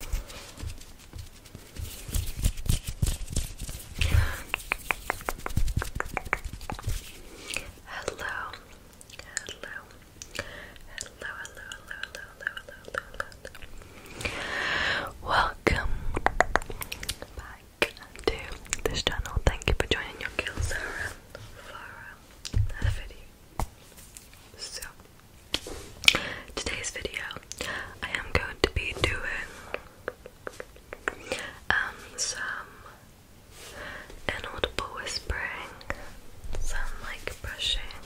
Hello. Hello. Hello, hello, hello, hello, hello, hello, Welcome back to this channel. Thank you for joining your girl Sarah Flora another video. So today's video, I am going to be doing um, some inaudible whispering, some like brushing,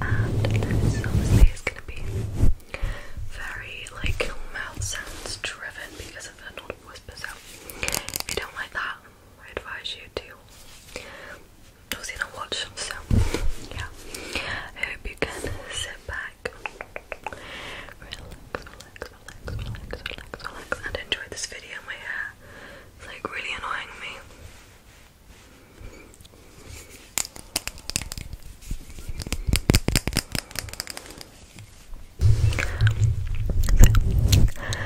and this obviously is going to be very like mouth sounds driven because of the audible whispers. So if you don't like that, I advise you to because you do watch them, so yeah. I hope you can sit back, relax, relax, relax, relax, relax, relax, and enjoy this video. My hair is like really annoying me.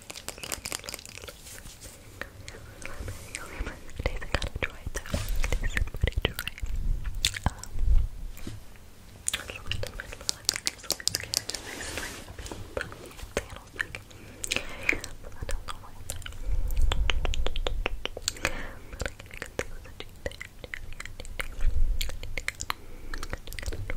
Tastes kind of dry though. Tastes pretty dry. Um, I love it. I love it. I'm so scared. Just nice and like flannel thick. I don't know why. But I guess you can see what the cheese is. Just kind of dry.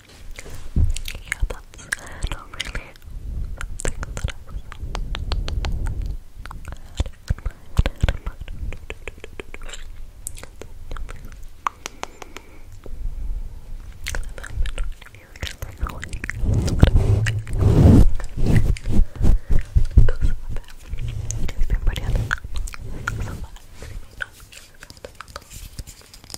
Yeah, that's not really something that I was had in mind. It's been pretty unexpected. So, I may not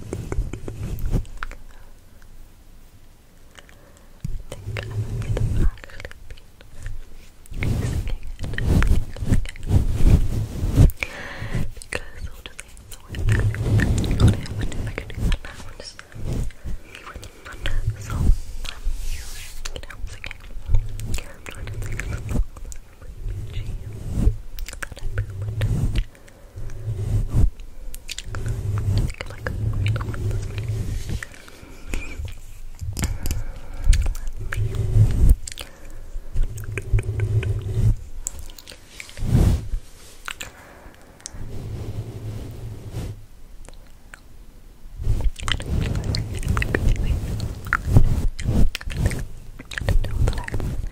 think I would have actually been it because all the things were actually on it. What if I could do that now? I'm just he wouldn't run. So I'm you know singing. I'm trying to think of a song that would be cheap that I would I don't know that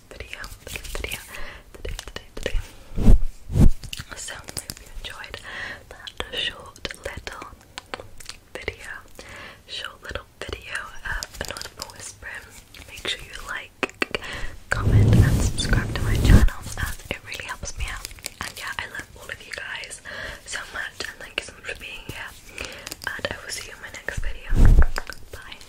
video, video, today, today, today. So I you enjoyed that short little video, short little video of an audible whispering. Make sure you like, comment, and subscribe to my channel um, it really helps me out. And yeah, I love all of you guys so much, and thank you so much for being here. And I will see you in my next video. Bye.